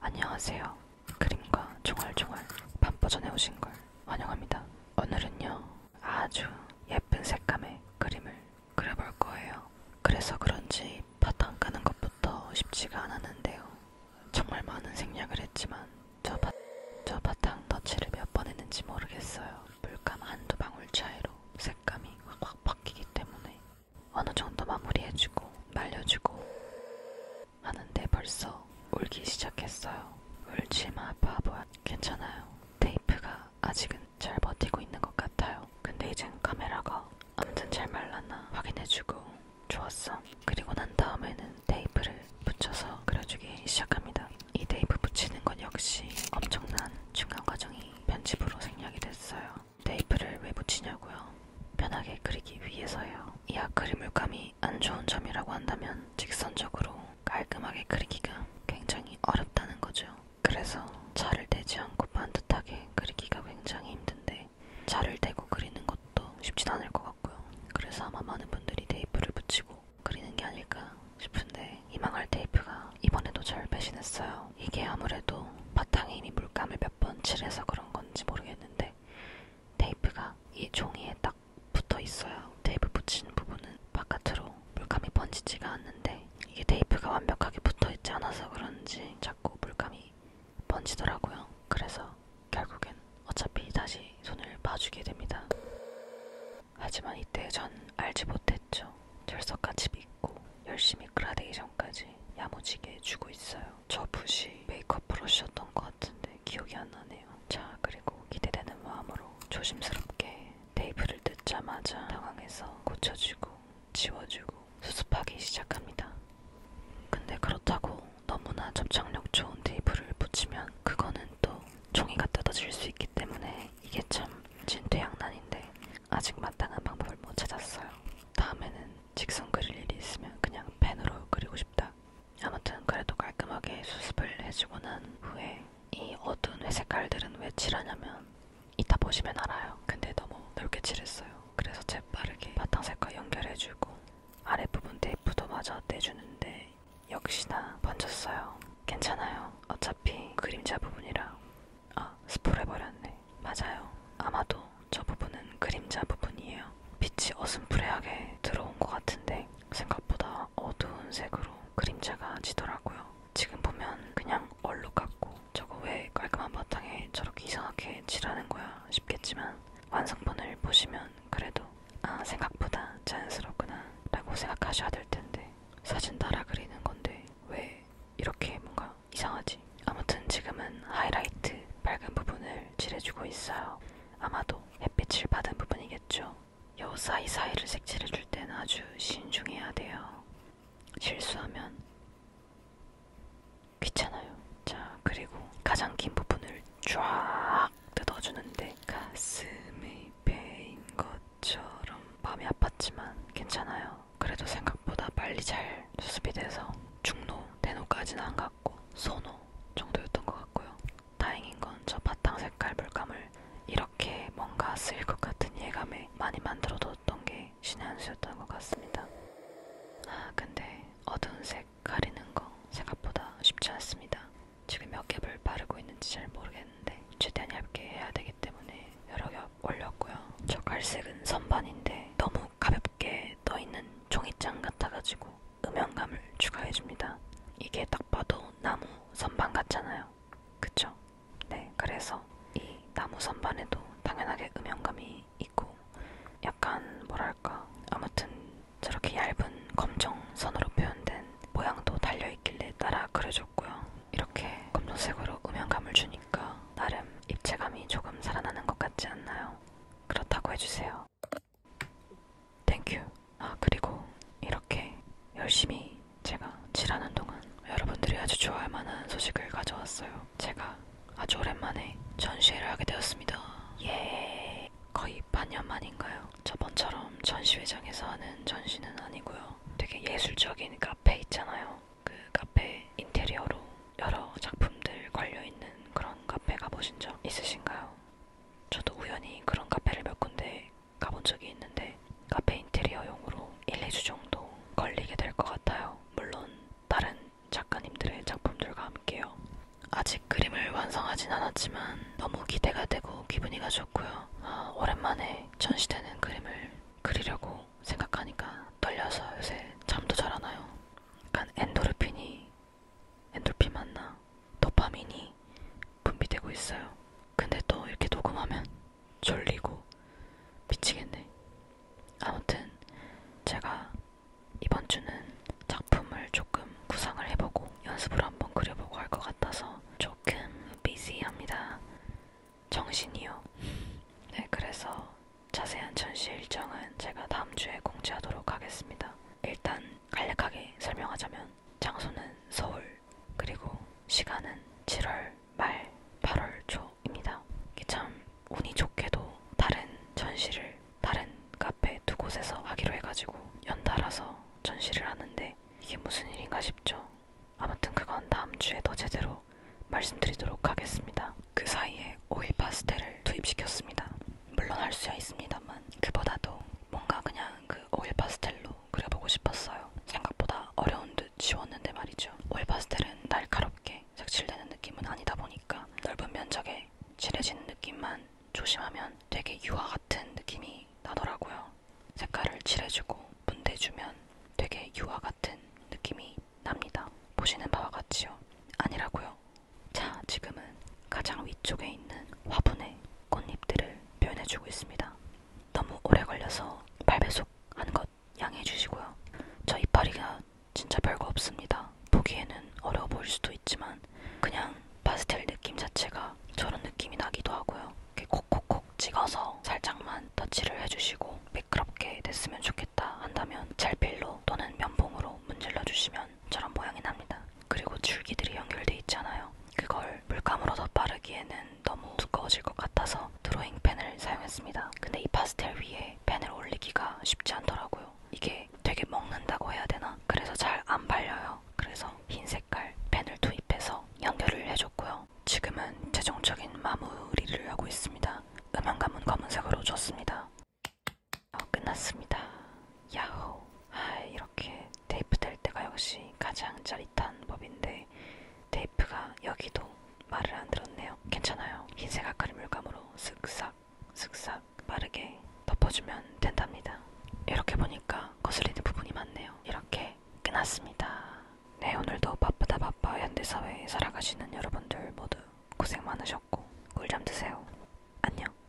안녕하세요. 그림과 종알종알 반버전에 오신 걸 환영합니다. 오늘은요, 아주 예쁜 색감의 그림을 그려볼 거예요. 그래서 그런지 바탕 까는 것부터 쉽지가 않았는데요. 정말 많은 생략을 했지만 저, 바, 저 바탕 터치를 몇 번 했는지 모르겠어요. 물감 한두 방울 차이로 색감이 확 확 바뀌기 때문에 어느 정도 마무리해주고 말려주고 하는데 벌써 울기 시작했어요. 울지마 바보야. 괜찮아요. 테이프가 아직은 잘 버티고 있는 것 같아요. 근데 이젠 카메라가 아무튼 잘 말랐나 확인해주고 좋았어. 그리고 난 다음에는 테이프를 붙여서 그려주기 시작합니다. 이 테이프 붙이는 건 역시 엄청난 중간 과정이 편집으로 생략이 됐어요. 테이프를 왜 붙이냐고요? 편하게 그리기 위해서요. 이 아크릴 물감이 안 좋은 점이라고 한다면 직선적으로 깔끔하게 그리기가 굉장히 어렵다는 거죠. 그래서 자를 대지 않고 반듯하게 그리기가 굉장히 힘든데 자를 대고 그리는 것도 쉽진 않을 것 같고요. 그래서 아마 많은 분들이 테이프를 붙이고 그리는 게 아닐까 싶은데 희망할 테이프가 이번에도 절 배신했어요. 이게 아무래도 바탕에 이미 물감을 몇 번 칠해서 그런 건지 모르겠는데 테이프가 이 종이에 딱 붙어 있어요. 테이프 붙이는 부분은 바깥으로 물감이 번지지가 않는데 이게 테이프가 완벽하게 붙어 있지 않아서 그런지 자꾸 물감이 번지더라고요. 그래서 결국엔 어차피 다시 손을 봐주게 됩니다. 하지만 이때 전 알지 못했죠. 철석같이 믿고 열심히 그라데이션까지 야무지게 주고 있어요. 저 붓이 메이크업 브러쉬였던 것 같은데 기억이 안 나네요. 자 그리고 기대되는 마음으로 조심스럽게 테이프를 뜯자마자 당황해서 고쳐주고 지워주고 수습하기 시작합니다. 근데 그렇다고 너무나 접착력 좋은 테이프를 붙이면 그거는 또 종이가 뜯어질 수 있기 때문에 이게 참 진퇴양난인데 아직 마땅한 방법을 못 찾았어요. 다음에는 직선 그릴 일이 있으면 그냥 펜으로 그리고 싶다. 아무튼 그래도 깔끔하게 수습을 해주고 난 후에 이 어두운 회색 깔들은 왜 칠하냐면 이따 보시면 알아요. 근데 너무 넓게 칠했어요. 그래서 재빠르게 바탕색과 연결해주고 아랫부분 테이프도 마저 떼주는데 역시나 번졌어요. 괜찮아요. 어차피 그림자 부분이라. 아, 스포를 버렸네. 맞아요. 아마도 저 부분은 그림자 부분이에요. 빛이 어슴푸레하게 들어온 것 같은데 생각보다 어두운 색으로 그림자가 지더라고요. 지금 보면 그냥 얼룩 같고 저거 왜 깔끔한 바탕에 저렇게 이상하게 칠하는 거야 싶겠지만 완성본을 보시면 그래도 아 생각보다 자연스럽구나 라고 생각하셔야 될 텐데 사진 따라 그리는 건데 왜 이렇게 뭔가 이상하지? 아무튼 지금은 하이라이트 밝은 부분을 칠해주고 있어요. 아마도 햇빛을 받은 부분이겠죠. 요 사이사이를 색칠해줄 때는 아주 신중해야 돼요. 실수하면 귀찮아요. 자, 그리고 가장 긴 부분을 쫙딱 뜯어주는데 가슴이 베인 것처럼 마음이 아팠지만 괜찮아요. 그래도 생각보다 빨리 잘 수습이 돼서 중노, 대노까지는 안 갔고 소노 정도였던 것 같고요. 다행인 건 저 바탕 색깔 물감을 이렇게 뭔가 쓰일 것 같은 예감에 많이 만들어뒀던 게 신의 한 수였던 것 같습니다. 아 근데 어두운 색색 가리는 거 생각보다 쉽지 않습니다. 지금 몇 겹을 바르고 있는지 잘 모르겠는데 최대한 얇게 해야 되기 때문에 여러 겹 올렸고요. 저 갈색은 선반인데 너무 가볍게 떠있는 종이장 같아가지고 음영감을 추가해줍니다. 이게 딱 봐도 나무 선반 같잖아요. 그쵸? 네, 그래서 이 나무 선반에도 당연하게 음영감이 있고 약간 뭐랄까 아무튼 저렇게 얇은 검정선으로 표현된 모양도 달려있길래 따라 그려줬고요. 이렇게 검정색으로 음영감을 주니까 나름 입체감이 조금 살아나는 것 같지 않나요? 그렇다고 해주세요. 땡큐. 아 그리고 이렇게 열심히 제가 칠하는 동안 여러분들이 아주 좋아할 만한 소식을 가져왔어요. 제가 아주 오랜만에 전시회를 하게 되었습니다. 예, 거의 반년 만인가요? 저번처럼 전시회장에서 하는 전시는 아니고요. 되게 예술적인 카페 있잖아요. 그 카페 인테리어로 여러 작품들 걸려 있는 그런 카페 가보신 적 있으신가요? 저도 우연히 그런 카페를 몇 군데 가본 적이 있는데 카페 인테리어용으로 1, 2주 정도 걸리게 될 것 같아요. 물론 다른 작가님들의 작품들과 함께요. 아직 그림을 완성하진 않았지만 너무 기대가 되고 기분이가 좋고요. 아, 오랜만에 전시되는 그림을 그리려고 생각하니까 떨려서 요새 잠도 잘 안 와요. 약간 엔도르핀이 엔돌핀 맞나? 도파민이 분비되고 있어요. 근데 또 이렇게 녹음하면 졸리고 미치겠네. 아무튼 제가 이번 주는 작품을 조금 구상을 해보고 연습을 한번 그려보고 할 것 같아서 조금 비시합니다. 정신이요. 네, 그래서 자세한 전시 일정은 제가 다음 주에 공지하도록 하겠습니다. 일단 간략하게 설명하자면 장소는 서울, 그리고 시간은 7월 말 8월 초입니다. 참 운이 좋게도 다른 전시를 다른 카페 두 곳에서 하기로 해가지고 연달아서 전시를 하는데 이게 무슨 일인가 싶죠. 아무튼 그건 다음 주에 더 제대로 말씀드리도록 하겠습니다. 그 사이에 오이 파스텔을 투입시켰습니다. 물론 할 수야 있습니다만 그보다도 뭔가 그냥 그 오일 파스텔로 그려보고 싶었어요. 생각보다 어려운 듯 쉬웠는데 말이죠. 올 파스텔은 날카롭게 색칠되는 느낌은 아니다 보니까 넓은 면적에 칠해지는 느낌만 조심하면 되게 유화 같은 느낌이 나더라고요. 색깔을 칠해주고 분대주면 되게 유화 같은 느낌이 납니다. 보시는 바와 같이요. 아니라고요. 자, 지금은 가장 위쪽에 있는 화분에 꽃잎들을 표현해주고 있습니다. 너무 오래 걸려서 8배속 하는 것 양해해 주시고요. 저 이파리가 진짜 별거 없습니다. 보기에는 어려워 보일 수도 있지만 그냥 파스텔 느낌 자체가 저런 느낌이 나기도 하고요. 이렇게 콕콕콕 찍어서 살짝만 터치를 해주시고 매끄럽게 됐으면 좋겠다 한다면 젤필로 또는 면봉으로 문질러 주시면 저런 모양이 납니다. 그리고 줄기들이 연결돼 있잖아요. 그걸 물감으로 덧바르기에는 너무 두꺼워질 것 같아서 드로잉펜을 사용했습니다. 근데 이 파스텔 위에 펜을 올리기가 쉽지 않더라고요. 이게 되게 먹는다고 해야 되나? 그래서 잘 안 발려요. 그래서 흰 색깔 펜을 투입해서 연결을 해줬고요. 지금은 최종적인 마무리를 하고 있습니다. 음영감은 검은색으로 줬습니다. 어, 끝났습니다. 야호! 아, 이렇게 테이프 될 때가 역시 가장 짜릿한 법인데 테이프가 여기도 말을 안 들었네요. 괜찮아요. 흰색 아카리 물감으로 쓱싹 쓱싹 빠르게 덮어주면 된답니다. 이렇게 보니까 거슬리는 부분이 많네요. 이렇게 끝났습니다. 네, 오늘도 바쁘다 바빠 현대사회에 살아가시는 여러분들 모두 고생 많으셨고 꿀잠 드세요. 안녕.